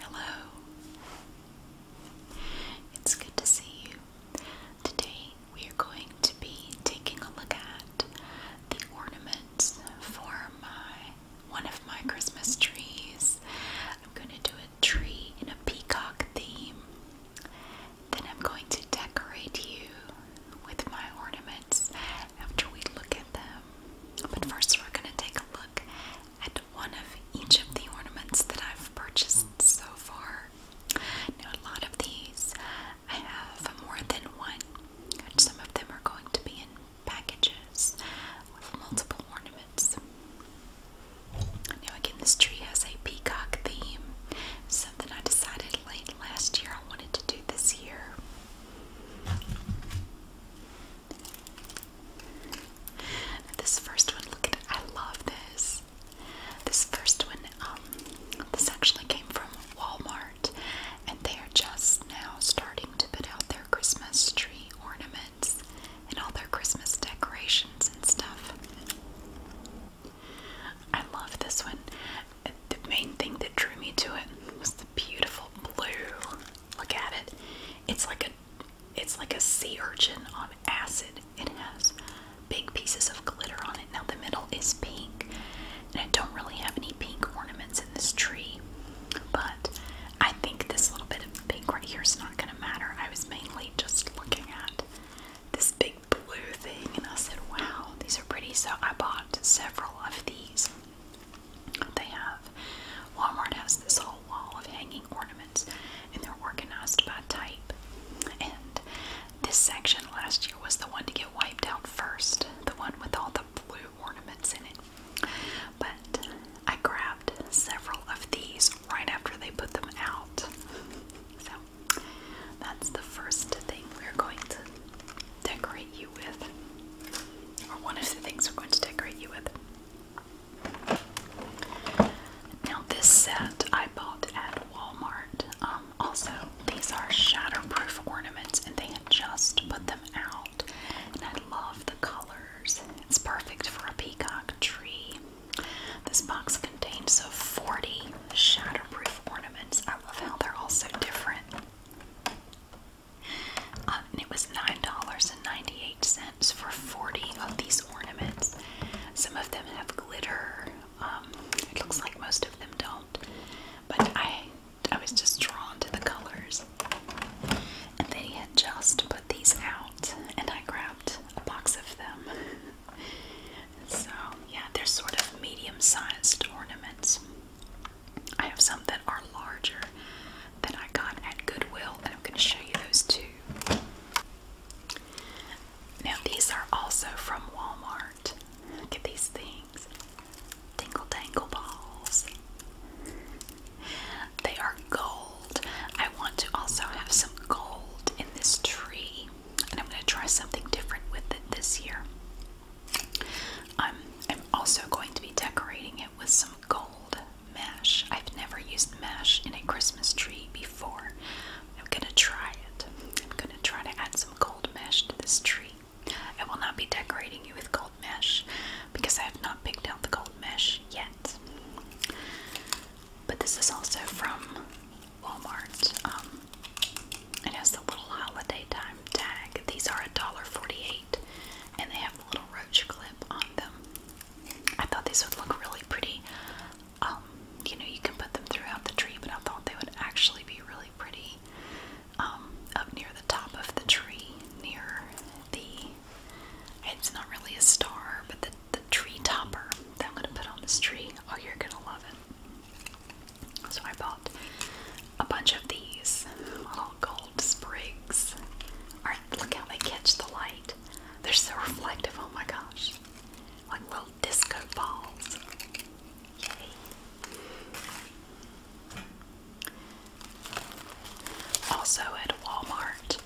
Hello. It's good to see you. Today we are going to be taking a look at the ornaments for my one of my Christmas trees. I'm going to do a tree in a peacock theme. Then I'm going to decorate you with my ornaments after we look at them. But first we're going to take a look and one of each of the ornaments that I've purchased hmm. so far. Now, a lot of these I have more than one, and some of them are going to be in packages with multiple ornaments. Now, again, this tree has a peacock theme, something I decided late last year I wanted to do this year. This first one, look at I love this. This first one, um, this actually came from Walmart, and they are just now starting to put out their Christmas tree ornaments and all their Christmas decorations and stuff. I love this one. The main thing that drew me to it was the beautiful blue. Look at it. It's like a it's like a sea urchin on acid. It has big pieces of glitter on it. Now the middle is pink, and I don't really have any pink ornaments in this tree, but I think this little bit of pink right here is not going to matter. I was mainly just looking at this big blue thing, and I said, wow, these are pretty, so I bought several of these. They have Walmart has this whole wall of hanging ornaments and they're organized by type. And this section last year was the one to get wiped out first, the one with all the blue ornaments in it. But I grabbed several of these right after they put them out. So that's the first thing we're going to decorate you with, or one of the things we're going to decorate you with. Now this set I bought at Walmart. Um, also, these are shatterproof ornaments and they had just put them out. And I love the colors. It's perfect for a peacock tree. This box contains 40 shatterproof ornaments. I love how they're all so different. Uh, it was $9.98 for 40 of these ornaments. Some of them have glitter. Um, it looks like most of them don't. But I, I was just drawn to the colors. And then he had just put these out, and I grabbed a box of them. so, yeah, they're sort of medium sized ornaments. I have some that are larger that I got at Goodwill, and I'm going to show you those too. Now, these are also from Walmart. Look at these things Tingle Tangle Balls. They are gold. I want to also have some gold in this tree, and I'm going to try something different with it this year. I'm also going to be decorating it with some gold mash. I've never used mesh in a Christmas tree before. I'm gonna try it. I'm gonna try to add some gold mesh to this tree. I will not be decorating you with gold mesh because I have not picked out the gold mesh yet. But this is also from Walmart. Um, it has the little holiday time tag. These are $1.48 and they have little roach clip on them. I thought these would look really pretty. Um, you know, you can put them throughout the tree, but I thought they would actually be really pretty um, up near the top of the tree, near the. It's not really a star, but the tree topper that I'm gonna put on this tree. Oh, you're gonna love it. So I bought a bunch of these little gold sprigs. All right, look how they catch the light. They're so reflective. Oh my gosh, like little disco balls. Yay! Also at Walmart,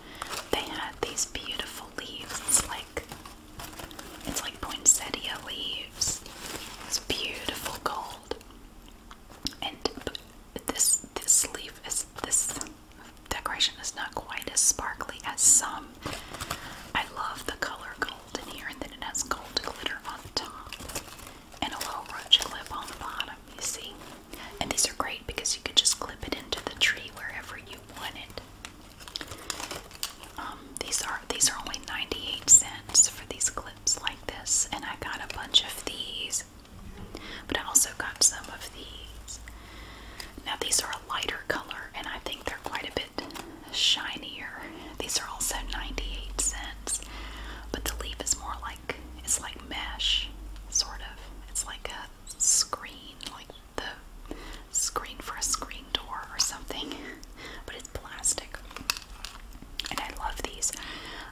they had these beautiful leaves. It's like it's like poinsettia leaves. It's beautiful gold. And this this leaf is this decoration is not quite as sparkly as some. I love the color gold in here, and then it has gold glitter on top and a little roach clip on the bottom. You see, and these are great because you could just clip it into the tree wherever you want it. Um, these are these are only 98 cents for these clips like this, and I got a bunch of these but I also got some of these. Now these are a lighter color and I think they're quite a bit shinier. These are also 98 cents, but the leaf is more like it's like mesh sort of. It's like a screen, like the screen for a screen door or something, but it's plastic. And I love these.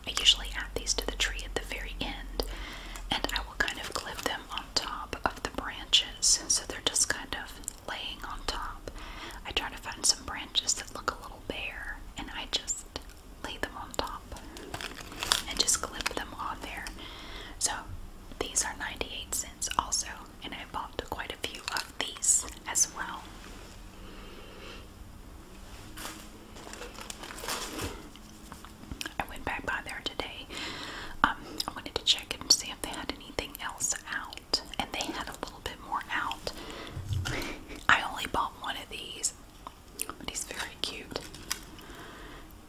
I usually add these to the tree at the very end, and I will kind of clip them on top of the branches so they're just kind of laying on top. I try to find some branches that look a little bare, and I just lay them on top and just clip them on there. So these are 98 cents also, and I bought quite a few of these as well. I went back by there today. Um, I wanted to check and see if they had anything else out, and they had a little bit more out. I only bought one of these, but he's very cute.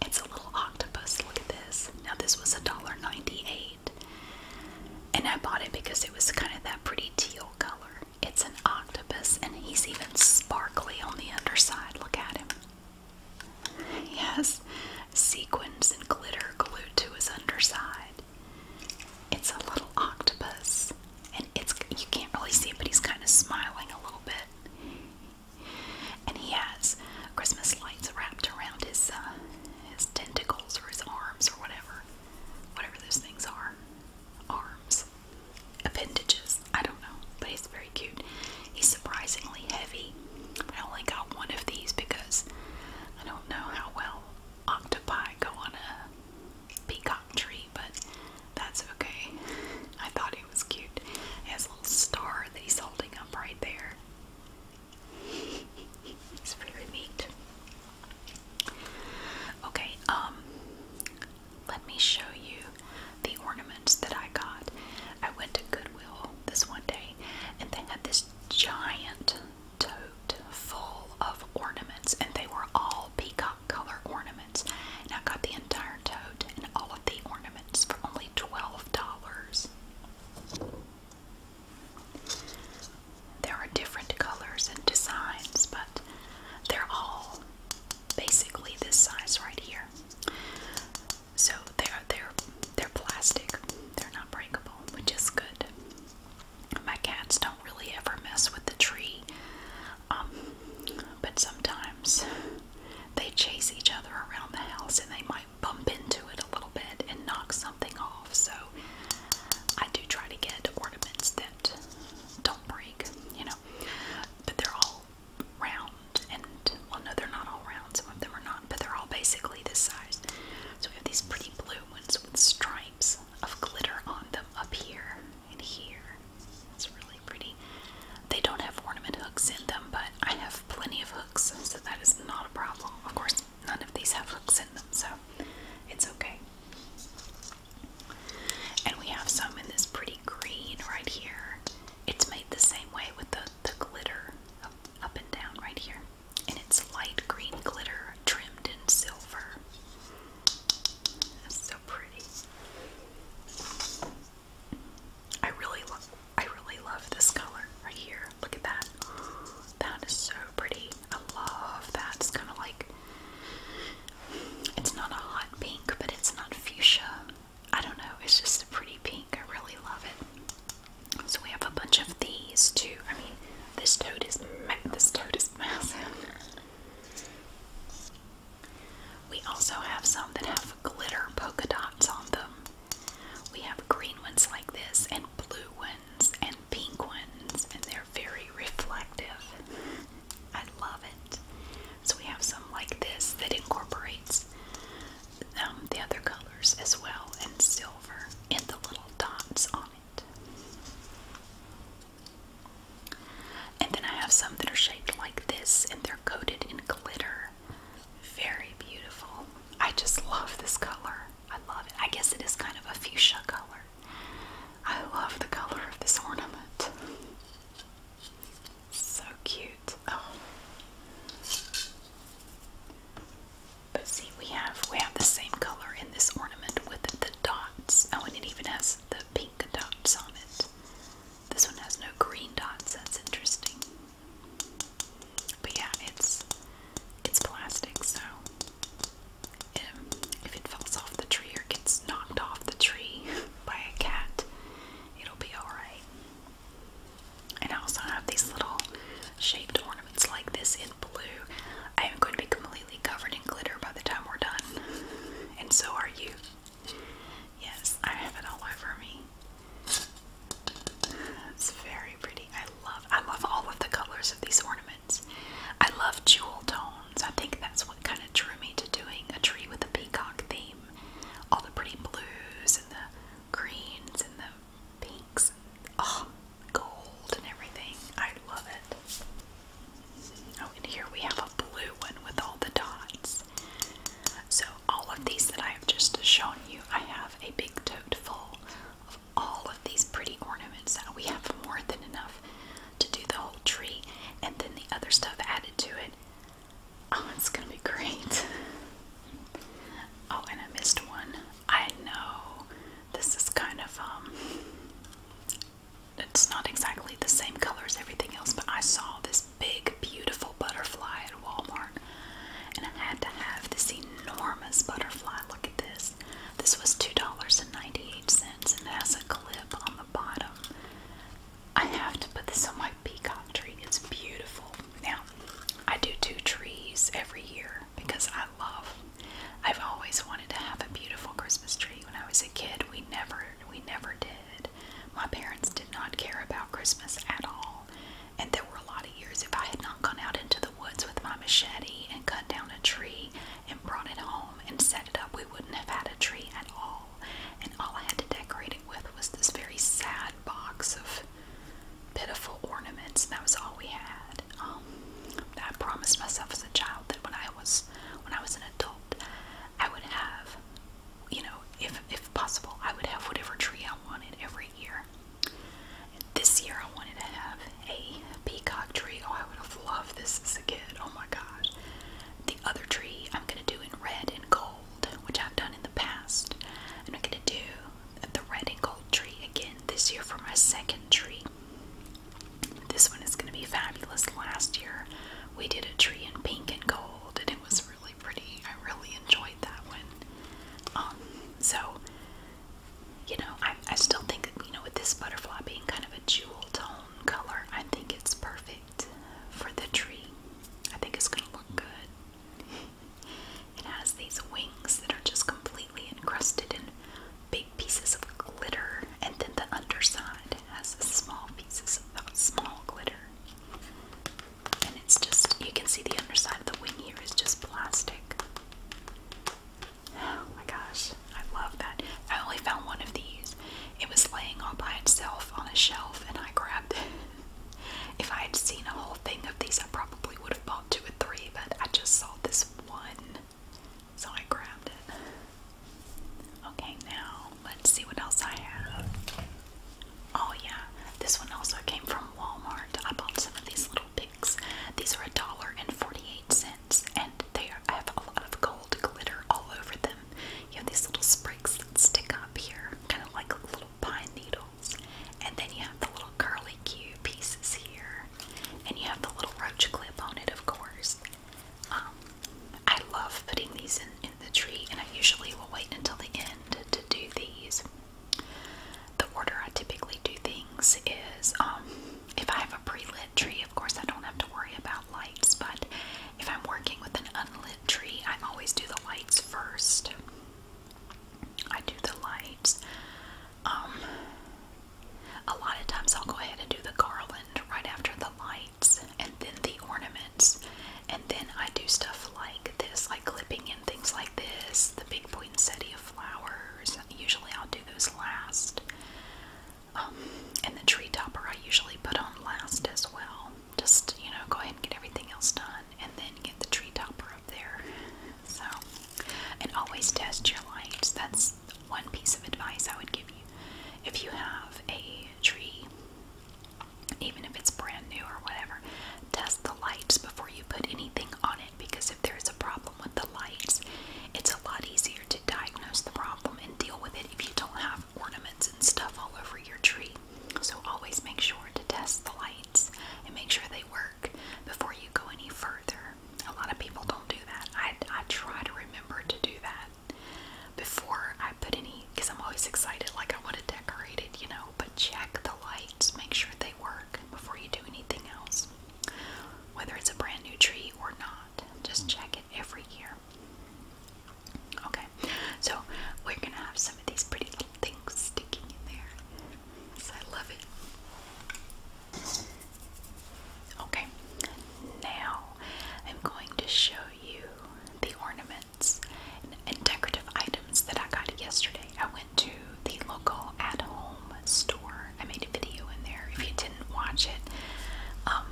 It's a little octopus. Look at this. Now this was a dollar ninety-eight, and I bought it because it was kind of that pretty teal color. It's an octopus, and he's even sparkly on the underside. Look at him. He has sequins and glitter glued to his underside. It's a little octopus, and it's you can't really see it, but he's kind of smiling a little bit. And he has Christmas lights wrapped around his uh, his tentacles or his arms or whatever, whatever those things are arms, appendages. I don't know, but he's very cute. He's surprisingly heavy. I only got one of these because I don't know how well octopi go on a peacock tree, but that's okay. I thought it was cute. He has a little star that he's holding up right there. It's very neat. Okay, um, let me show you the ornaments that I got. I went to Goodwill this one day and they had this giant tote full of ornaments and they were all peacock color ornaments. And I got the entire tote and all of the ornaments for only $12. There are different colors and designs, but they're all basically this size right here. So they're they're they're plastic. They're not breakable, which is good. My cats don't really ever mess with the tree, um, but sometimes they chase each other around the house and they might bump into it a little bit and knock something off. So I do try to get ornaments that don't break, you know, but they're all round and well no they're not all round some of them are not but they're all basically the size so we have these pretty blue ones with stripes of glitter on them up here and here it's really pretty they don't have ornament hooks in them but i have plenty of hooks so that is not a problem of course none of these have hooks in them so it's okay and we have some in this pretty green right here. It's made the same way with the, the glitter up, and down right here. And it's light green glitter trimmed in silver. That's so pretty. I really love I really love this color right here. Look at that. That is so pretty. I love that. It's kind of like it's not a hot pink, but it's not fuchsia. I don't know, it's just a pretty pink. I really love it. So we have a bunch of these too. I mean, this toad is this toad is massive. We also have some that have glitter polka dots on them. We have green ones like this, and blue ones, and pink ones, and they're very reflective. I love it. So we have some like this that incorporates um, the other colors as well, and silver and the little dots on it. And then I have some that are shaped like this, and they're coated in glitter. Very beautiful. I just love this color. I love it. I guess it is kind of a fuchsia color. I love the color of this ornament. So cute. Oh. But see, we have we have the same color in this ornament with the dots. Oh, and it even has the pink dots on it. This one has no green dots. That's interesting. But yeah, it's it's plastic, so if it falls off the tree or gets knocked off the tree, by a cat, it'll be alright. And I also have these little shaped ornaments like this in blue. I am going to be completely covered in glitter by the time we're done. And so are you. Yes, I have it all over me. It's very pretty. I love I love all of the colors of these ornaments. I love jewel tones. I think that's what kind of drew me to doing a tree with a peacock theme all the pretty blues and the greens and the pinks, and, oh, gold and everything. I love it. Oh, and here we have a blue one with all the dots. So all of these that I have just shown you, I have a big tote full of all of these pretty ornaments. Now we have more than enough to do the whole tree, and then the other stuff added to it. Oh, it's gonna be great. Oh, and I missed one. I know this is kind of, um, it's not exactly the same color as everything else, but I saw this big, beautiful butterfly at Walmart, and I had to have this enormous butterfly. Look at this. This was $2.98, and it has a clip on the bottom I have to put this on my peacock tree. It's beautiful. Now, I do two trees every year because I love. I've always wanted to have a beautiful Christmas tree. When I was a kid, we never we never did. My parents did not care about Christmas at all. And there were a lot of years if I had not gone out into the woods with my machete and cut down a tree and brought it home and set it up, we wouldn't have had a tree at all and all I had to decorate it with was this very sad box of pitiful ornaments. That was all we had. Um, I promised myself as a child that when I was when I was an adult, I would have, you know, if if possible, I would have whatever tree I wanted every year. And this year, I wanted to have a peacock tree. Oh, I would have loved this as a kid. Oh my gosh other tree I'm going to do in red and gold, which I've done in the past. And I'm going to do the red and gold tree again this year for my second tree. This one is going to be fabulous. Last year we did a tree in pink and gold, and it was really pretty. I really enjoyed that one. Um, so, you know, I still think, you know, with this butterfly being kind of a jewel tone color, I think it's perfect for the tree. I think it's gonna look good. it has these wings that are just completely encrusted in big pieces of glitter, and then the underside has small pieces of small glitter. And it's just, you can see the underside of the wing here is just plastic. Oh my gosh, I love that. I only found one of these it was laying all by itself on a shelf and I grabbed it. if I had seen a whole thing of these I probably would have bought two or three, but I just saw this one. So I grabbed it. Okay, now let's see what else I have. Oh yeah, this one also came from Walmart. I bought some of these little picks. These are a dollar and forty-eight cents, and they have a lot of gold glitter all over them. You have these little sprigs that stick up here, kind of like little pine needles. And then you have the little curly cue pieces here. And you have the little roach clip on it, of course. Um, I love putting these in, in the tree, and I usually will wait until the end to do these. The order I typically do things is um, if I have a pre lit tree, of course, I don't have to worry about lights, but if I'm working with an unlit tree, I always do the lights first. I do the lights. Um, a lot of times I'll go ahead and do the garland right after the lights and then the ornaments. And then I do stuff like this, like clipping in things like this, the big point of flowers. Usually I'll do those last. Um, and the tree topper I usually put on last as well. Just, you know, go ahead and get everything else done and then get the tree topper up there. So, and always test your lights. That's one piece of advice I would give you. If you have a tree, even if it's brand new or whatever, test the lights before you put anything on it because if there's a problem with the lights, it's a lot easier to diagnose the problem and deal with it if you don't have ornaments and stuff all over your tree. So always make sure to test the lights and make sure they work before you go any further. A lot of people don't do that. I, I try to remember to do that before I put any, because I'm always excited, like I want to decorate it, you know, but check the lights, make sure they work before you do anything else. Whether it's a brand new tree or not, just check it every year. Okay, so we're gonna have some of these pretty little things sticking in there. I love it. Okay, now I'm going to show you the ornaments and, decorative items that I got yesterday. I went to the local at home store. I made a video in there. If you didn't watch it, um,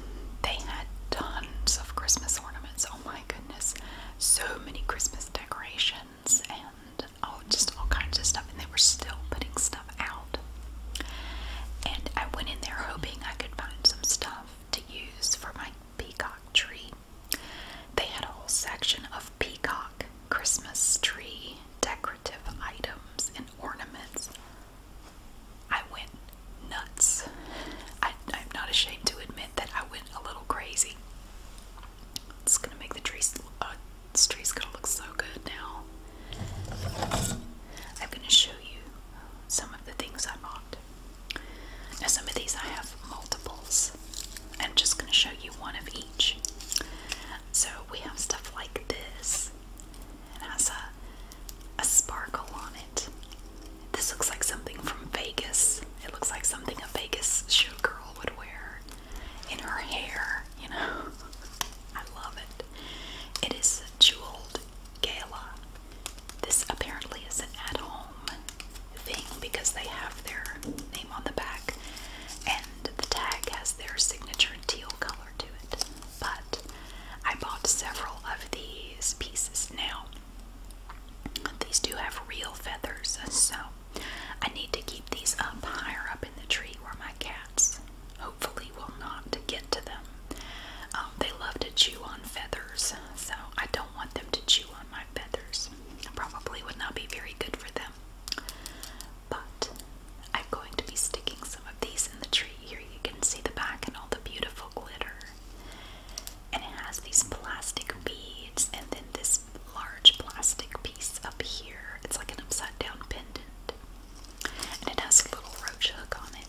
they had tons of Christmas ornaments. Oh my goodness, so many Christmas decorations and oh, just all kinds of stuff. And they were still putting stuff out. And I went in there hoping I could find some stuff to use for my peacock tree. They had a whole section of peacock Christmas tree decorative items and ornaments. I went nuts. I, am not ashamed to admit that I went a little crazy. It's gonna make the uh, trees. gonna look so good now. I'm gonna show you some of the things I bought. Now, some of these I have multiples. I'm just gonna show you one of each. So we have stuff like this. And a sparkle on it. This looks like something from Vegas. It looks like something a Vegas showgirl would wear in her hair, you know. I love it. It is jeweled gala. This apparently is an at home thing because they have their name on the back and the tag has their signature teal color to it. But I bought several of these pieces now. These do have real feathers, so I need to keep these up higher up in the tree where my cats hopefully will not get to them. Um, they love to chew on feathers, so I don't want them to chew on my feathers. Probably would not be very good for them. But I'm going to be sticking some of these in the tree. Here you can see the back and all the beautiful glitter and it has these plastic beads and then this large plastic piece up here. It's like an upside down pendant. And it has a little roach hook on it.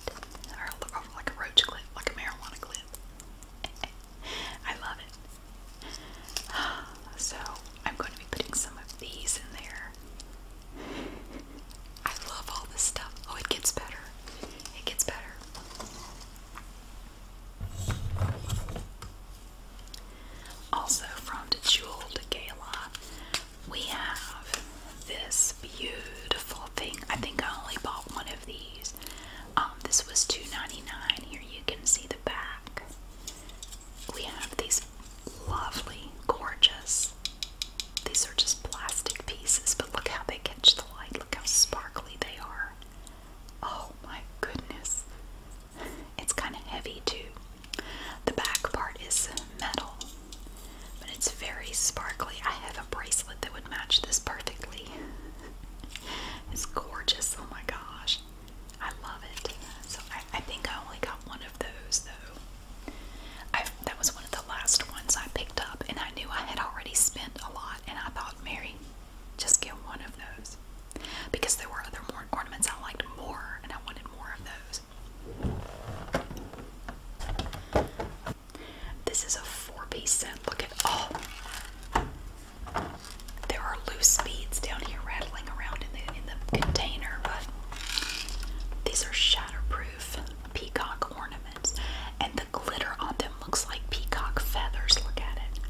Or like a roach clip, like a marijuana clip. I love it. So I'm going to be putting some of these in there. I love all this stuff. Oh, it gets better. It gets better. Also, from the Jewel to Gala, we have this beautiful thing. I think I only bought one of these. Um, this was $2.99. Here you can see the back. We have these lovely, gorgeous these are just plastic pieces, but look how they catch the light. Look how sparkly they are. Oh my goodness. It's kind of heavy too. The back part is metal, but it's very sparkly. I have a bracelet that would match this perfectly. It's gorgeous. Oh my gosh. I love it. So I, think I only got one of those though that was one of the last ones I picked up, and I knew I had already spent a lot, and I thought, Mary, just get one of those. Because there were other ornaments I liked more, and I wanted more of those. This is a four piece set. Look at Oh, there are loose beads down here rattling around in the, in the container, but these are shatterproof peacock ornaments. And glitter on them looks like peacock feathers. Look at it.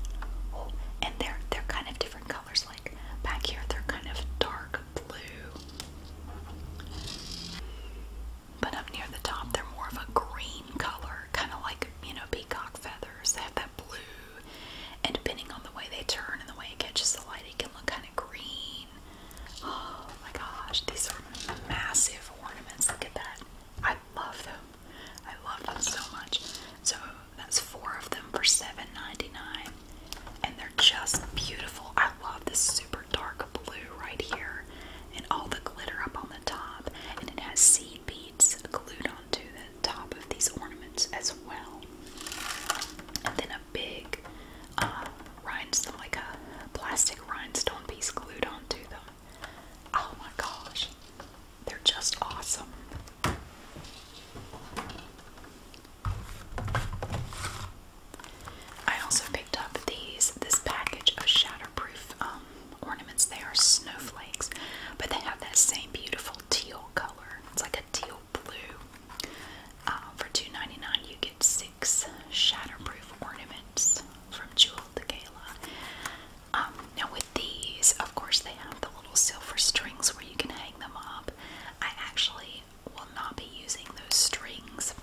and they're they're kind of different colors. Like back here, they're kind of dark blue. But up near the top, they're more of a green color, kind of like you know peacock feathers. They have that blue, and depending on the way they turn and the way it catches the light, it can look kind of green. Oh my gosh, these are massive ornaments. Look at that. I love them. I love them so much. So that's four of them for $7.99. And they're just beautiful. I love this super dark blue right here. And all the glitter up on the top. And it has seed beads glued onto the top of these ornaments as well. And then a big uh, rhinestone, like a plastic rhinestone piece glued onto the Oh my gosh, they're just awesome. I also picked up these this package of shatterproof um, ornaments. They are snowflakes, but they have that same beautiful teal color. It's like a teal blue. Uh, for 2 you get shatterproof ornaments from Jewel to Gala. Um, now with these, of course, they have the little silver strings where you can hang them up. I actually will not be using those strings.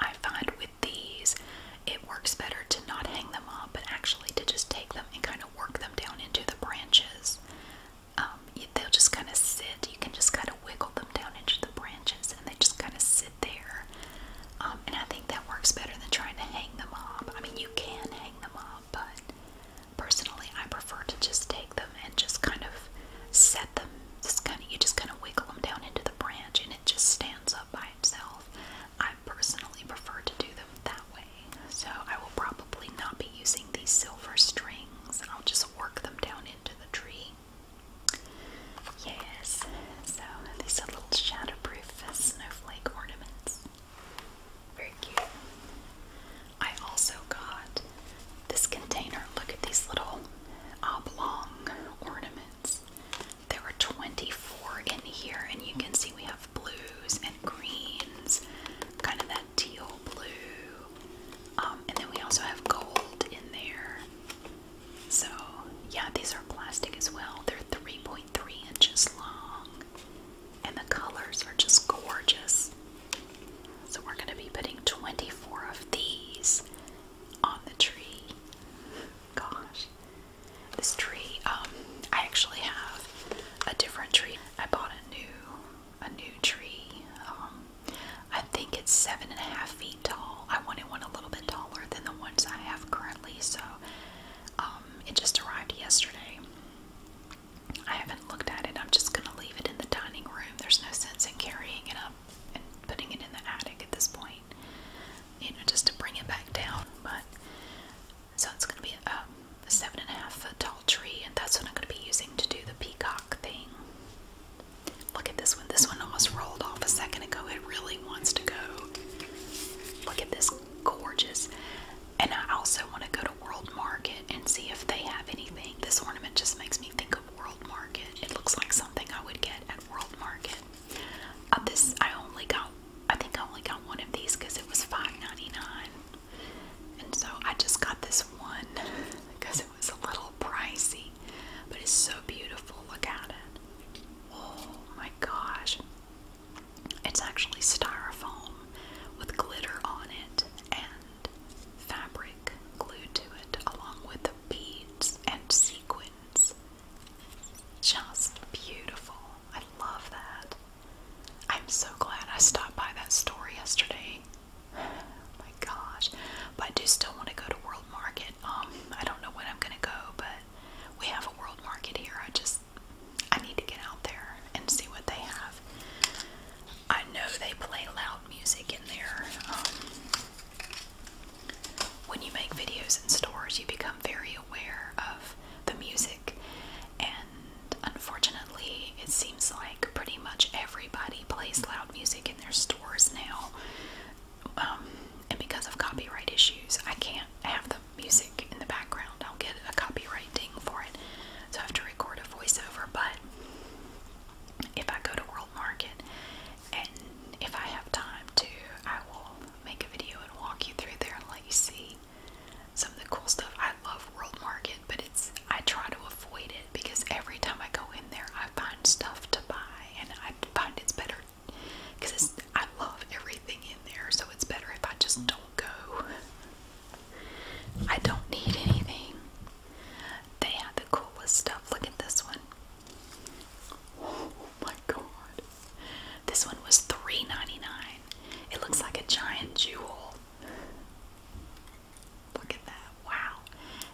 I find with these, it works better to not hang them up, but actually to just take them and kind of work them down into the branches. Um, they'll just kind of sit. You can just kind of wiggle them down into the branches, and they just kind of sit sit there. Um, and I think that works better than trying to hang them up. I mean, you can hang them up, but personally, I prefer to just take them and just kind of set them. Just kind of, you just kind of wiggle them down into the branch, and it just stands up by itself. I personally prefer to do them that way. So I will probably not be using these silver strings. I'll just work them down into the tree. Yes, so these are little shatterproof snowflake ornaments. Very cute. I also got this container. Look at these little oblong ornaments. There were 24 in here, and you can see we have blues and greens, kind of that teal blue. Um, and then we also have gold in there. So, yeah, these are plastic as well. They're 3.3 inches long, and the colors are just gorgeous. So, we're going to be putting 24 of these on the tree. Gosh, this tree, um, I actually have a different tree. I bought a new a new tree. Um, I think it's seven and a half feet tall. I wanted one a little bit taller than the ones I have currently, so um, it just arrived yesterday. I haven't looked at it. I'm just going to leave it in the dining room. There's no sense in carrying it up and putting it in the attic at this point, you know, just to bring it back down. But so it's going to be um, a seven and a half foot tall tree, and that's what I'm going to be using to do the peacock thing. Look at this one. This one almost rolled off a second ago. It really wants to go. Look at this gorgeous. And I also want to go to World Market and see if they have anything. This ornament just makes me think of World Market. It looks like something I would get at World Market. Of uh, this I only got. I think I only got one of these because it was $5.99. And so I just got this one because it was a little pricey, but it's so beautiful. Look at it. Oh my gosh. It's actually styrofoam with glitter on it and fabric glued to it, along with the beads and sequins. Just beautiful. I love that. I'm so glad I stopped by that store yesterday. my gosh. But I do still want to go to World Market market. Um, I don't know when I'm gonna go, but we have a world market here. I just I need to get out there and see what they have. I know they play loud music in there. Um, when you make videos in stores, you become very aware of the music, and unfortunately, it seems like pretty much everybody plays loud music in their stores now um, and because of copyright issues, I can't have the music in the background. I'll get a copyright ding for it, so I have to record a voiceover. But if I go to World Market and if I have time to, I will make a video and walk you through there and let you see some of the cool stuff. I love World Market, but it's I try to avoid it because every time I go in there, I find stuff to buy, and I find it's better because I love everything in there, so it's better if I just don't go. I don't need anything. They had the coolest stuff. Look at this one. Oh my god. This one was three ninety nine. It looks like a giant jewel. Look at that. Wow.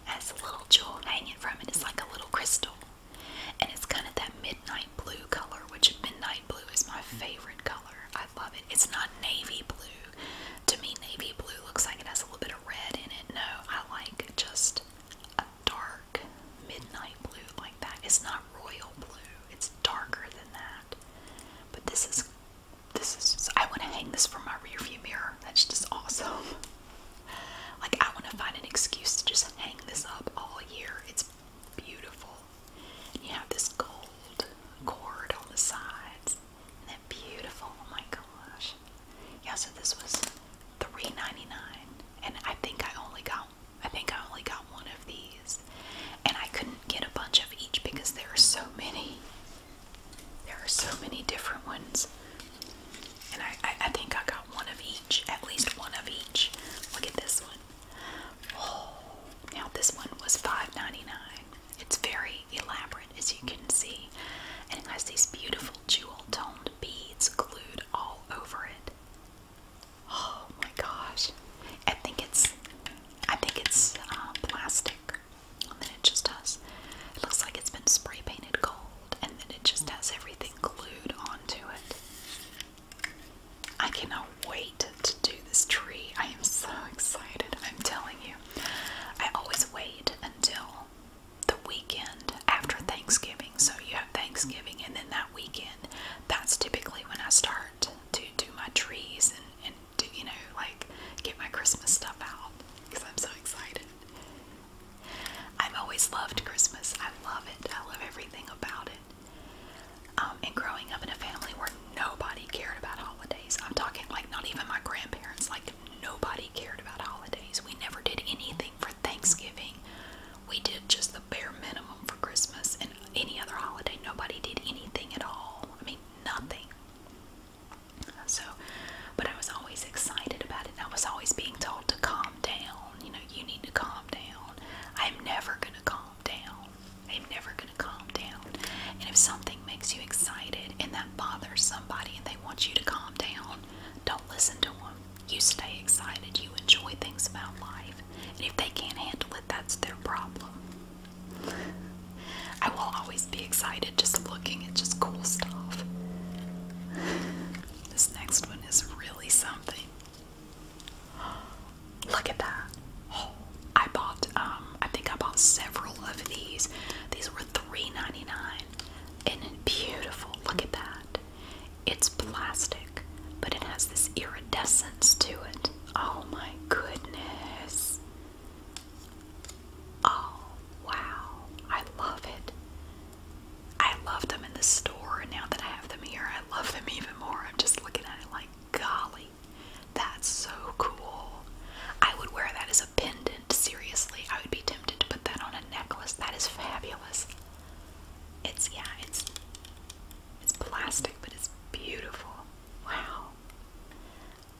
has a little jewel hanging from it. It's like a little crystal. And it's kind of that midnight blue color, which midnight blue is my favorite color. I love it. It's not navy blue. To me, navy blue looks like it has a little bit of red in it. No, I like just a dark midnight blue like that. It's not royal blue. It's darker than that. But this is this is. I want to hang this from my rearview mirror. That's just awesome. Like, I want to find an excuse to just hang this up all year. It's beautiful. you have this gold cord on the sides. Isn't that beautiful? Oh my gosh. Yeah, so this was $3.99. And I think I only got I think I only got one of these. And I couldn't get a bunch of each because there are so many. There are so many different ones. And I, think I got one of each, at least one of each. Look at this one. Oh, now this one was $5.99. It's very elaborate, as you can see, and it has these beautiful jewel toned beads glued all over it. Oh my gosh! I think it's, I think it's uh, plastic. And then it just does. It looks like it's been spray painted gold and then it just has everything glued onto it. I cannot wait to do this tree. I am so excited. I'm telling you. I always wait until the weekend after Thanksgiving. So you have Thanksgiving and then that weekend, that's typically when I start to do my trees and, and you know, like get my Christmas stuff out because I'm so excited. I've always loved Christmas. I love it. I love everything about it. Um, and growing up in a family where nobody cared about holidays, I'm talking like not even my grandparents, like nobody cared about holidays. We never did anything for Thanksgiving. We did just the bare minimum for Christmas and any other holiday. Nobody did anything at all. I mean, nothing. So, but I was always excited about it, I was always being told to calm down you know, you need to calm down. I'm never going to calm down. I'm never going to calm down. And if something makes you excited and that bothers somebody and they want you to calm down, don't listen to them. You stay excited. You enjoy things about life. And if they can't handle it, that's their problem. I will always be excited just looking at just cool stuff. This next one is really something. Look at that. I bought um, I think I bought several of these. These were $3.99 and beautiful. Look at that. It's plastic, but it has this iridescence to it. Oh my goodness. Oh wow. I love it. I loved them in the store, and now that I have them here, I love them even more. I'm just looking at it like, golly, that's so cool. I would wear that as a pendant, seriously. I would be tempted to put that on a necklace. That is fabulous. It's, yeah, it's, it's plastic, but it's beautiful. Wow.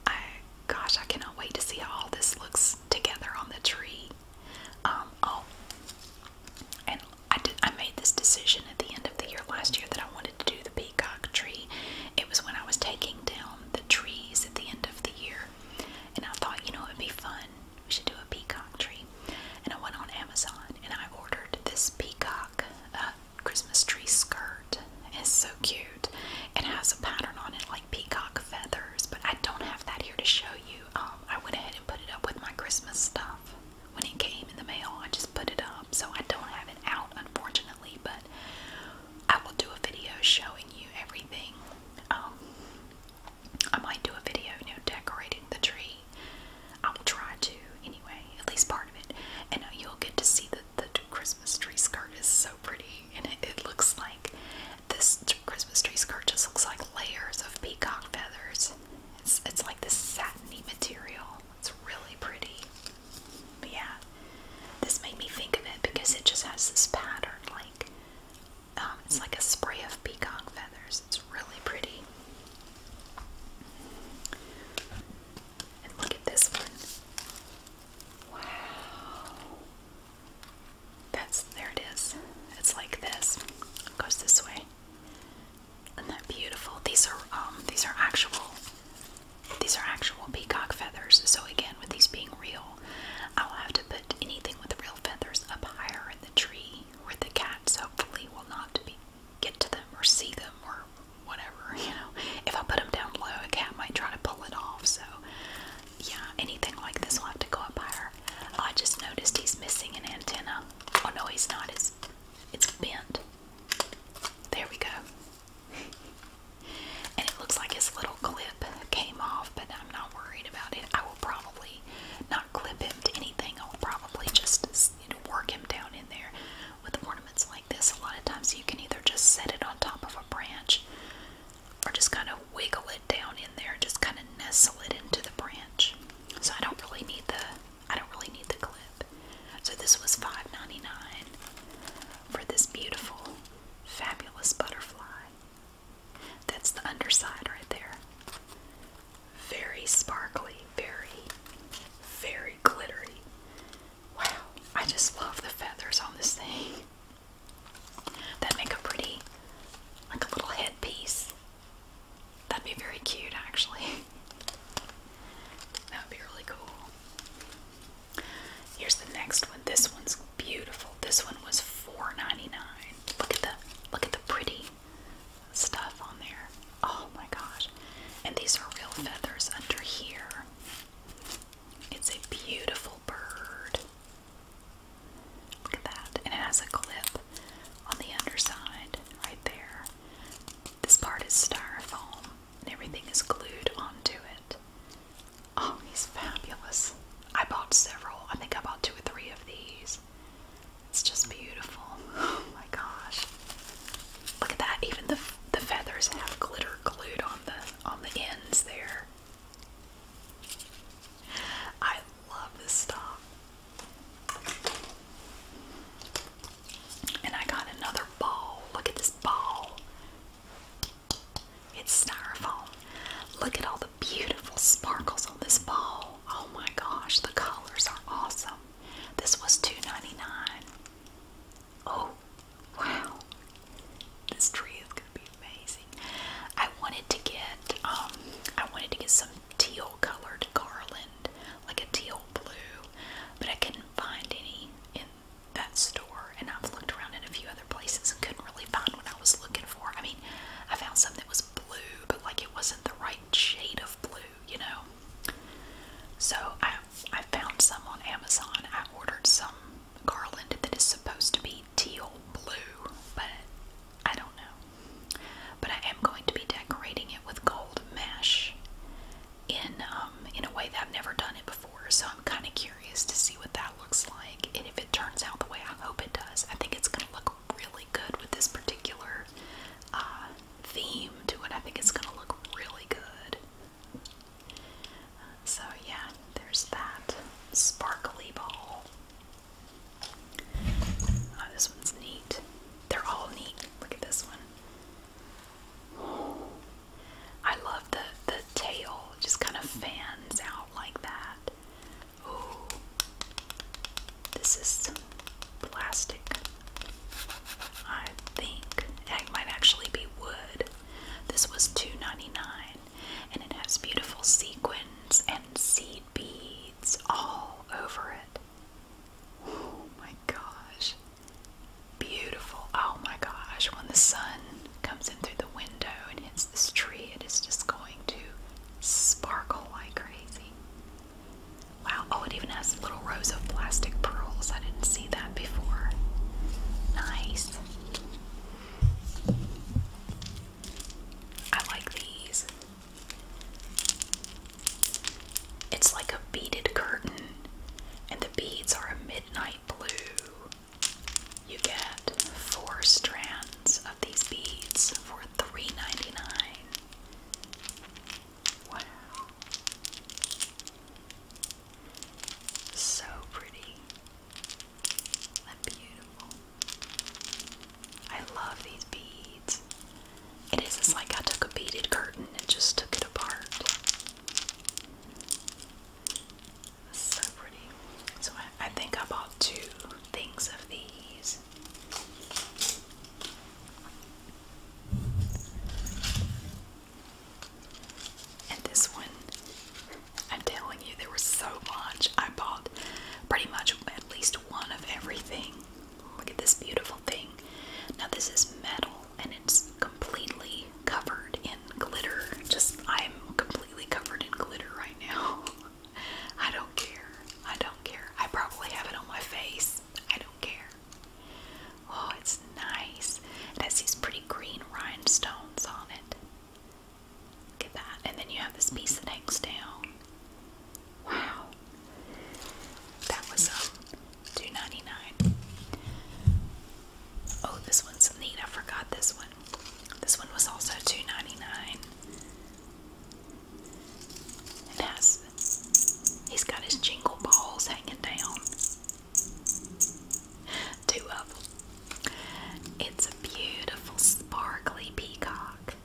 I, gosh, I cannot wait to see how all this looks together on the tree. Um, oh, and I made this decision at the end of the year last year that I wanted to do the peacock tree. It was when I was taking down the trees at the end of the year, and I thought, you know, it'd be fun. We should do a peacock tree. And I went on Amazon and I ordered this peacock uh, Christmas tree skirt. It's so cute. It has a pattern on it like peacock feathers, but I don't have that here to show you. Um, I went ahead and put it up with my Christmas stuff. When it came in the mail, I just put it up. So I don't have it out, unfortunately, but I will do a video showing you everything. Um, I might do a video, you decorating the tree. I will try to, anyway, at least part of it. And uh, you'll get to see that the Christmas tree skirt is so pretty, and it looks like this Christmas tree skirt just looks like layers of peacock feathers. It's, like this satiny material. It's really pretty. yeah, this made me think of it because it just has this pattern like um, it's like a spray of peacock feathers. It's really pretty. And look at this one. Wow. That's there it is. It's like this. goes this way. Isn't that beautiful? These are um, these are actual these are actual peacock feathers. So again, with these being real, I'll have to put anything with real feathers up higher in the tree where the cats hopefully will not be get to them or see them or whatever, you know. If I put them down below, a cat might try to pull it off. So yeah, anything like this will have to go up higher. I just noticed he's missing an antenna. Oh no, he's not. It's, it's bent. There we go. and it looks like his little clip came off, but I'm not worried about it. I will probably not clip him to anything. I will probably just work him down in there with ornaments like this. A lot of times you can either just set it on top of a branch or just kind of wiggle it down in there, just kind of nestle it into the branch. So I don't really need the I don't really need the clip. So this was $5.99 for this beautiful, fabulous butterfly. That's the underside right there. Very sparkly, very, very glittery. Wow, I just love the feathers on this thing. That make a pretty, like a little headpiece. That'd be very cute, actually. that would be really cool. Here's the next one. This one's beautiful. This one was $4.99. Look at the look at the pretty stuff on there. Oh my gosh. And these are real feathers under here. It's a beautiful bird. Look at that. And it has a clip on the underside right there. This part is styrofoam and everything is glued onto it. Oh, he's fabulous. I bought several. I think I bought two or three of these. It's just beautiful. Oh my gosh. Look at that. Even the the feathers have glitter glued on the on the ends there. I love this stuff. And I got another ball. Look at this ball. It's styrofoam. Look at all the beautiful sparkles on this ball. Oh my gosh, the colors are awesome. This was two ninety nine. Oh, wow. This tree is going to be amazing. I wanted to get um, I wanted to get some teal colored garland, like a teal blue, but I couldn't find any in that store and I've looked around in a few other places and couldn't really find what I was looking for. I mean, I found some that was blue, but like it wasn't the right shade of blue, you know. So I I found some on Amazon. I ordered some garland that is supposed to be teal blue, but I don't know. But I am going to be decorating it with gold mesh in um, in a way that I've never done it before. So I'm kind of curious to see what that looks like, and if it turns out the way I hope it does, I think it's going to look really good with this particular uh, theme to it. I think it's going to look really good. So yeah, there's that sparkly ball. Oh, this one's neat. They're all neat. Look at this one. I love the the tail. just kind of fans out like that. Oh, this is plastic. I think it might actually be wood. This was two ninety nine, and it has beautiful sequins and seed beads it's all over it. Oh my gosh. Beautiful. Oh my gosh. When the sun comes in through the window and hits this tree, it is just going to sparkle like crazy. Wow. Oh, it even has little rows of plastic pearls. I didn't see that before. Nice. I like these. It's like a beaded curtain, and the beads are a midnight blue. You get four strands of these beads for 3 Wow. So pretty beautiful. I love these beads. It is like I took a beaded curtain and just took it apart. so pretty. So I, think I bought two things of these. And this one, I'm telling there was so much. I bought pretty much at least one of everything. Look at this beautiful thing. Now, this is metal and it's completely covered in glitter. Just, I'm completely covered in glitter right now. I don't care. I don't care. I probably have it on my face. I don't care. Oh, it's nice. It has these pretty green rhinestones on it. Look that. And then you have this piece that hangs down. Wow. That was um 2 Oh, this one's neat. I forgot this one. This one was also two ninety nine. dollars 99 he's got his jingle balls hanging down. Two of them. It's a beautiful sparkly peacock.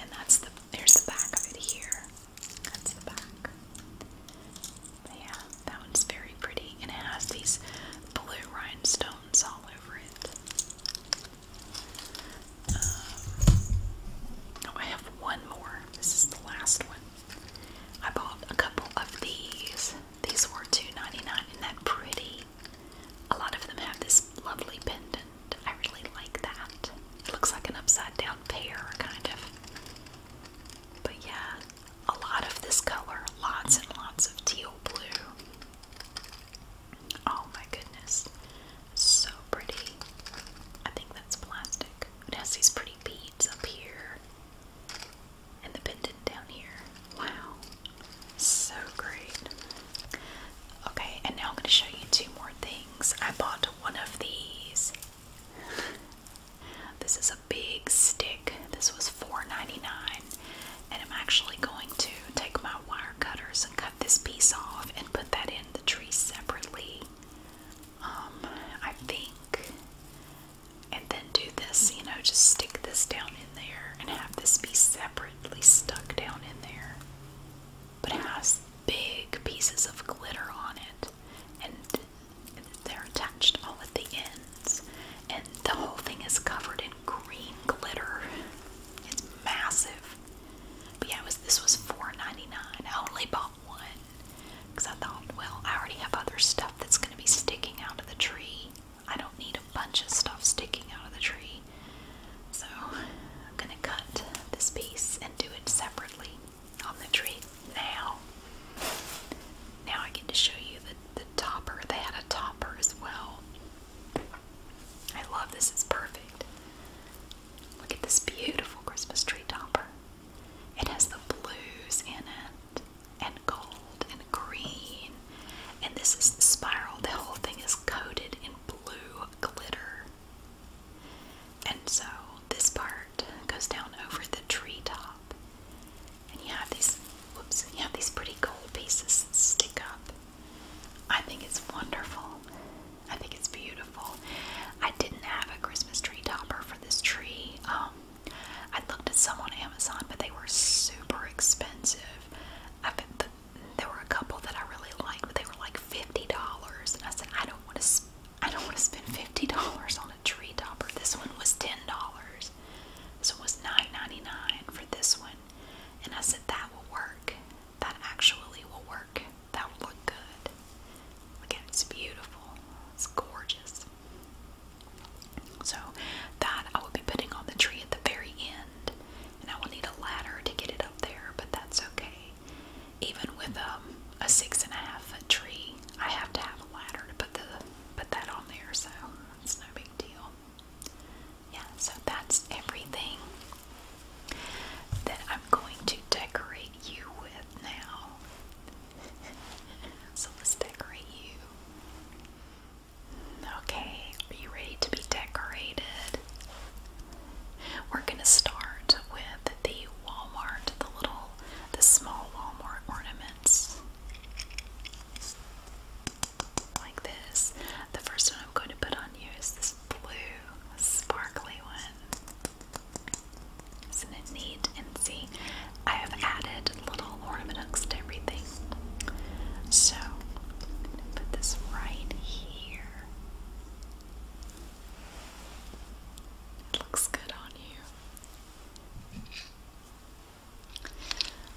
And that's the there's the back of it here. That's the back. yeah, that one's very pretty and it has these blue rhinestones all over it. Um, oh, I have one more. This is the last one. I bought a couple of these. These were two ninety nine, and that pretty a lot of them have this lovely pendant. I really like that. It looks like an upside down pear, kind of. But yeah, a lot of this color. Lots and lots of teal blue. Oh my goodness. So pretty. I think that's plastic. It has these pretty beads up here. And the pendant down here. Wow. So great. Okay, and now I'm going to show you two more things. I bought one of these. This is a big stick. This was $4.99. And I'm actually going to take my wire cutters and cut this piece off and put that in the tree separately. Um, I think. And then do this, you know, just stick this down in there and have this be separate stuck down in there. But it has big pieces of glitter on it, and they're attached all at the ends. And the whole thing is covered in green glitter. It's massive. But yeah, was, this was $4.99. I only bought one because I thought, well, I already have other stuff that's going to be sticking out of the tree. I don't need a bunch of stuff sticking out of the tree. So I'm gonna cut this piece and do it separately on the tree now. Now I get to show you the, topper. They had a topper as well. I love this, it's perfect. Look at this beautiful Christmas tree topper. It has the blues in it, and gold, and green, and this is the spiral. The whole thing is coated in blue glitter. And so this part goes down over the tree top, And you have these whoops, you have these pretty gold pieces stick up. I think it's wonderful. I think it's beautiful. I didn't have a Christmas tree topper for this tree. Um, I looked at some on Amazon, but they were super expensive there were a couple that I really liked, but they were like fifty dollars, and I said I don't want to. I don't want to spend fifty dollars on a tree topper. This one was ten dollars, so it was nine ninety nine for this one, and I said that will work. That actually will work. That will look good. Again, it's beautiful. It's gorgeous. So that I will be putting on the tree at the very end and I will need a ladder to get it up there, but that's okay. Even with um, a six and a half foot tree, I have to have a ladder to put the put that on there, so it's no big deal. Yeah, so that's everything that I'm going to decorate you with now. so let's decorate you. Okay, are you ready to be decorated? We're gonna start with the Walmart, the little, the small Walmart ornaments. Like this. The first one I'm going to put on you is this blue, sparkly one. Isn't it neat? And see, I have added little ornament hooks to everything so put this right here. looks good on you.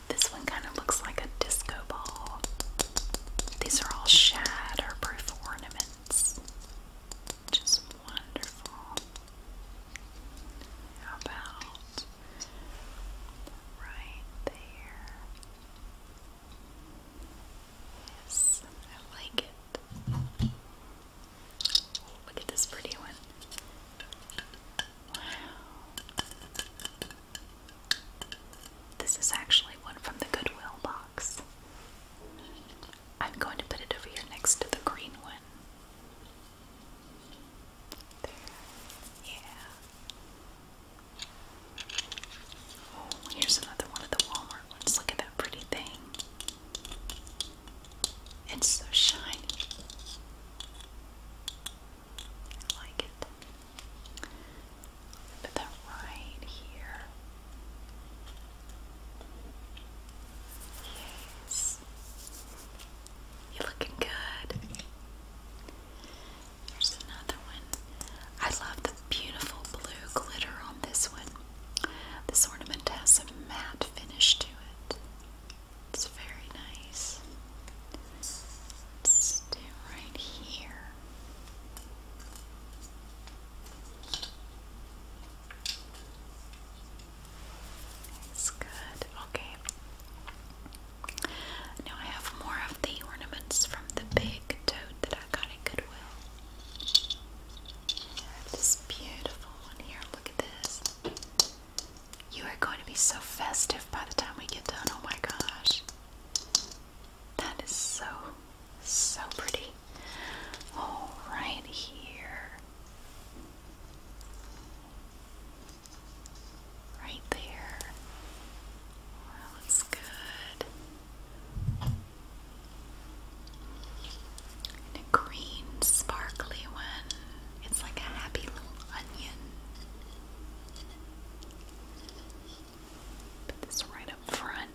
This one kind of looks like a disco ball. These are all shatterproof ornaments. Just wonderful. How about right there? Yes, I like it. Look at this pretty one. This is actually one from the Goodwill box. I'm going to put it over here next to the green one. There. Yeah. Oh, here's another one of the Walmart ones. Look at that pretty thing. It's so shiny. I like it. Put that right here. Yes. You're looking good. There's another one. I love the beautiful blue glitter on this one. This ornament has a matte finish to it. It's very nice. Let's do right here. It's good. Okay. Now I have more of the ornaments from the big tote that I got at Goodwill. I have this beautiful one here. Look at this. You are going to be so festive by the time we get done. Oh my gosh. That is so, so pretty. Oh, right here. Right there. That looks good. green, sparkly one. It's like a happy little onion. Put this right up front.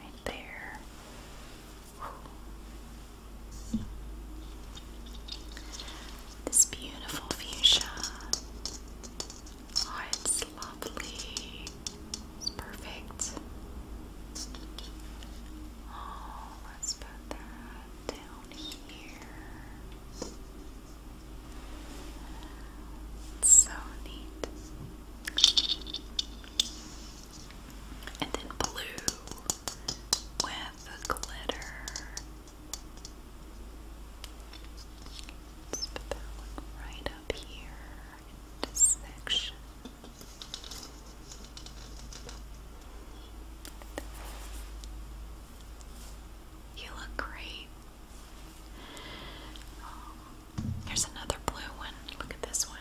Right there. This beautiful fuchsia. Oh, it's lovely. It's perfect. Oh, let's put that down here. so neat. And then blue with glitter let right up here in section. You look great. here's another blue one. Look at this one.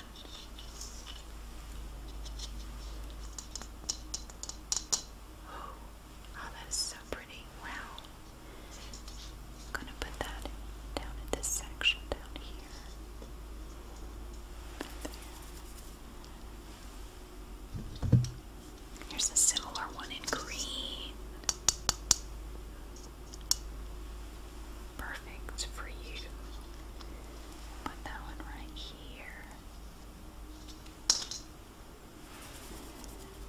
Oh, that is so pretty. Wow. I'm gonna put that down in this section down here. There. Here's a similar one in green. Perfect for you. Put that one right here.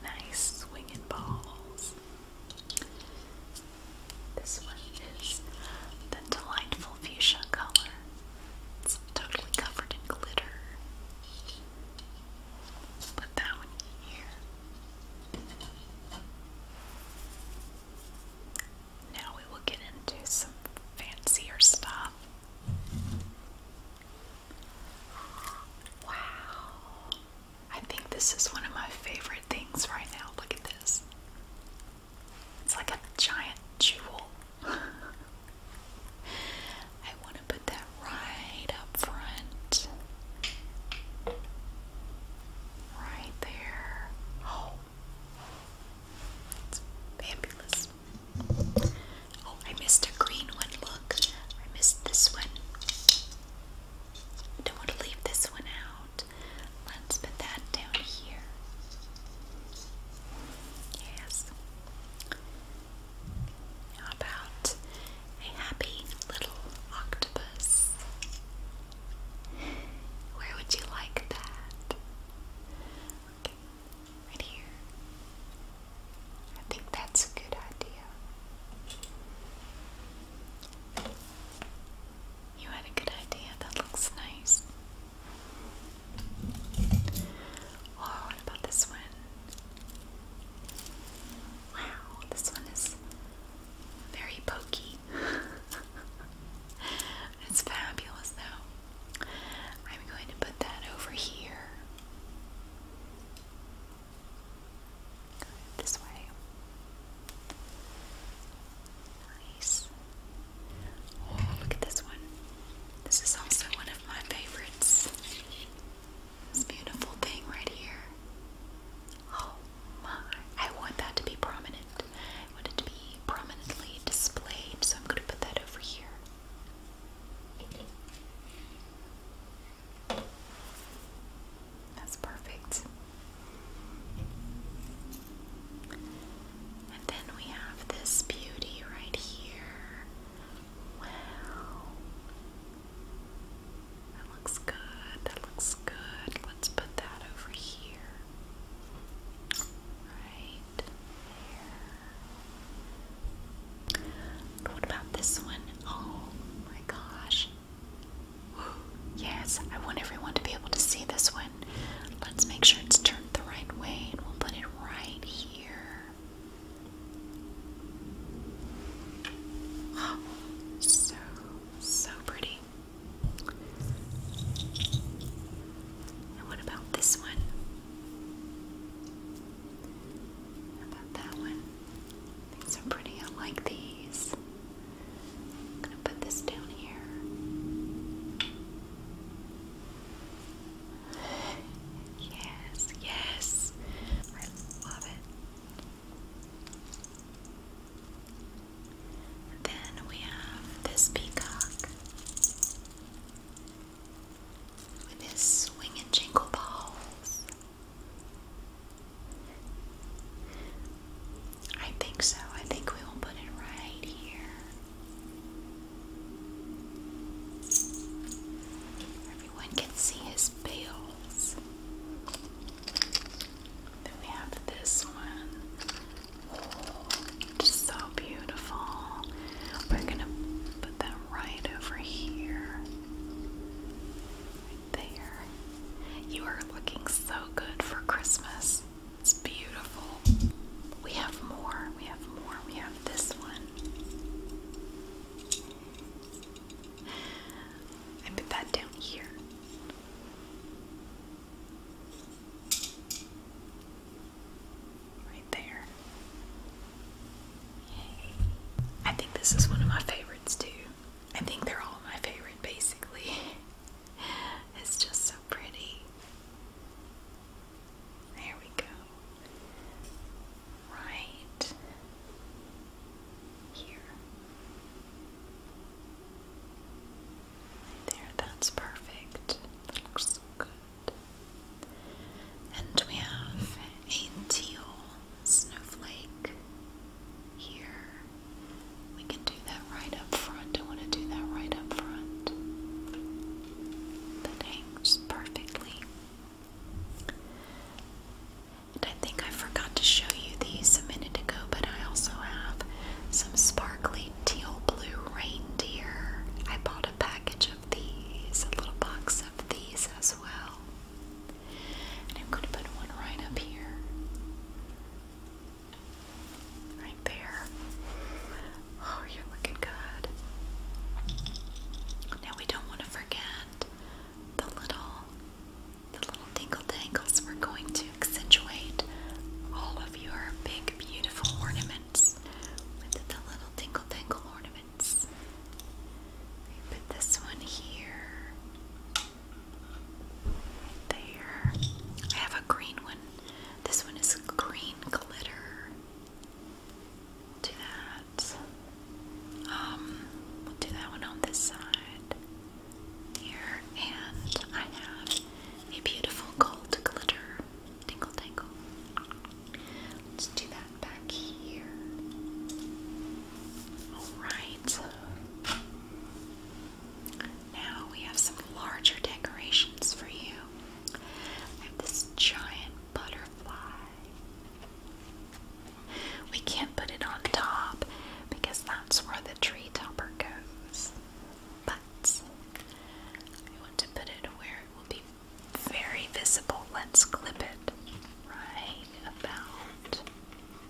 Nice swinging balls. This one is the delightful fuchsia color. It's totally covered in glitter. Put that one here. Now we will get into some fancier stuff. Wow. I think this is one of my favorite things right now. Look at this. It's like a giant jewel. I want to put that right up front. Right there. Oh. It's fabulous. Oh, I missed a green one. Look, I missed this one. don't want to leave this one out. Let's put that down here. Yes. How about a happy little octopus? Where would you like that? right here. I think that's a good idea. You had a good idea. That looks nice. Oh, what about this one? Wow, this one is very pokey. it's fabulous, though. I'm going to put that over here. Go this way. Nice. Oh, look at this one. This is also one of my favorites. This beautiful thing right here. Oh my. I want that to be prominent. I want it to be prominently displayed, so I'm going to put that over here. That's perfect. And then we have this beauty right here. Wow. That looks good. That looks good. Let's put that over here. Right there what about this one? Oh my gosh. Yes, I want everyone to be able to see this one. Let's make sure it's turned the right way and we'll put it right here. so, so pretty. And what about this one? about that one? These are pretty. I like these. gonna put this down here. Yes, yes. I love it. then we have this peacock with his swinging jingle balls. I think so. I think we will put it right here. Everyone can see his bells. Then we have this one. Just so beautiful. We're gonna put that right over here. there. You are looking so good for Christmas. It's beautiful. We have more. We have more. We have this one. And put that down here. Right there. I think this is one of my favorites too. I think they're all my favorite basically. it's just so pretty. There we go. Right here. there, that's perfect. looks so good. And we have a teal snowflake here. We can do that right up front. I want to do that right up front. That hangs perfectly. And I think I forgot to show you these a minute ago, but I also have some sparkly teal blue reindeer. I bought a package of these, a little box of these as well. And I'm going to put one right up here. Right there. Oh, you're looking good. Now we don't want to forget the little the little dingle dangles. We're going to accentuate all of your big beautiful ornaments with the little dingle dangle ornaments put this one here. there. I have a green one. This one is green glitter. do that. Um, do that one on this side. Here, and I have a beautiful gold glitter. Tingle tangle. Let's do that back here. Alright. Now we have some larger decorations for you. I have this giant butterfly. We can't put it on top because that's where the tree topper goes. But I want to put it where it will be very visible. Let's clip it right about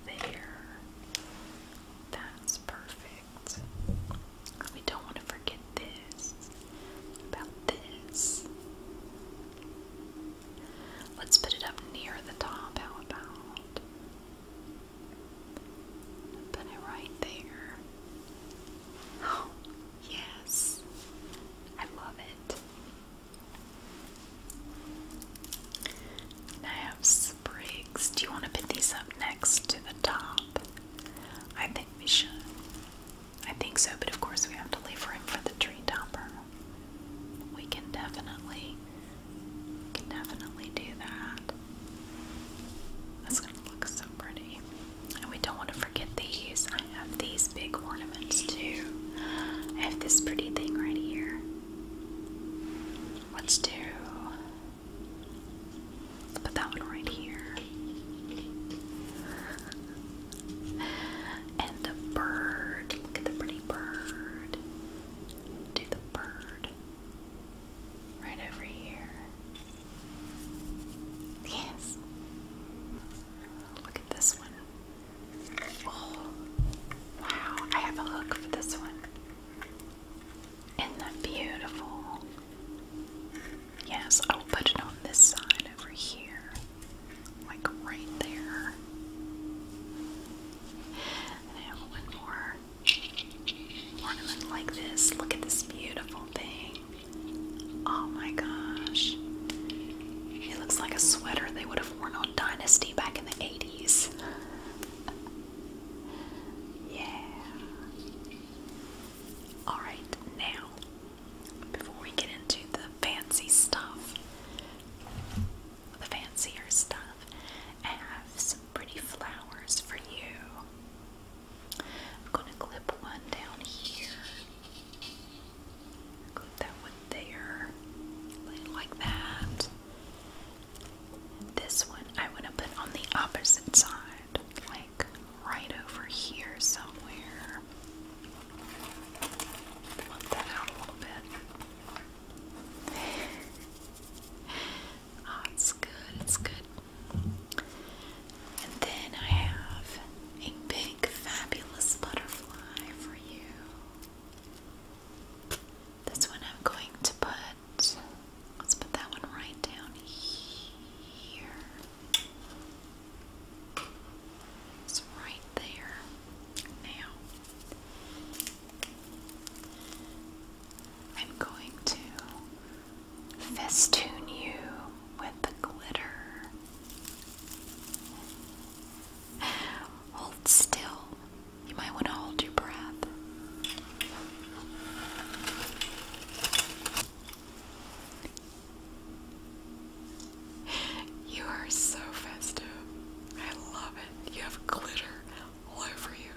there. That's perfect. We don't want to forget this. About this. Let's put it up near the top. How about? Put it right there. Oh, yes. I love it. I have sprigs. Do you want to put these up next to the top? I think we should. I think so, but of course we have to leave room for the tree topper. We can definitely can definitely do that. That's gonna look so pretty. And we don't want to forget these. I have these big ornaments too. I have this pretty thing right here. Let's do. put that one right here. And the bird. Look at the pretty bird. Do the bird. Right over here. Yes. Look at this one. Oh, wow. I have a hook for this one. Isn't that beautiful? Yes, I'll put it on this side over here. Like right there. I have one more ornament like this. Look at this beautiful thing. Oh my gosh. It looks like a sweater they would have worn on Dynasty back in the 80s. yeah. Alright, now, before we get into the fancy stuff, the fancier stuff, I have some pretty flowers for you. I'm going to clip one down here. Clip that one there. Like that. This one I want to put on the opposite side, like right over here somewhere. Bump that out a little bit. Ah, it's good, it's good. And then I have a big, fabulous butterfly for you. That's one I'm going to put, let's put that one right down here. It's right there. Now, I'm going to festoon you with the glitter. Hold still. You might want to hold your breath. You are so festive. I love it. You have glitter all over you.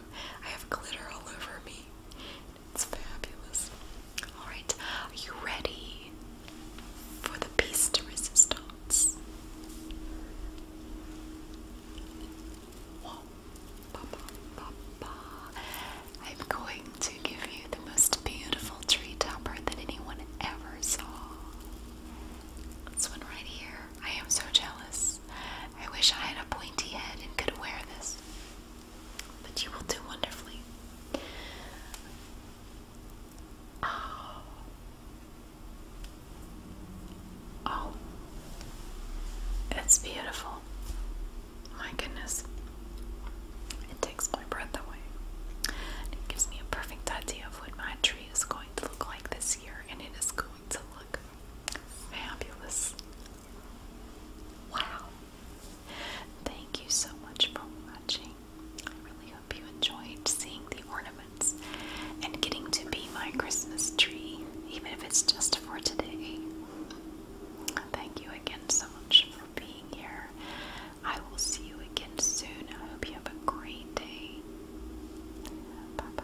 I have glitter all over me. It's fabulous. Alright, are you ready for the piece de resistance? I'm going to give you the most beautiful tree topper that anyone ever saw. This one right here. I am so jealous. I wish I had a pointy head and could wear this. But you will do wonderfully. Oh. Oh. It's beautiful. My goodness. It takes my breath away. It gives me a perfect idea of what my tree is going to look like this year, and it is going to look fabulous. Wow. Thank you so much for watching. I really hope you enjoyed seeing the ornaments and getting to be my Christmas tree, even if it's just for today. Thank you again so much for being here. I will see you again soon. I hope you have a great day. Bye bye.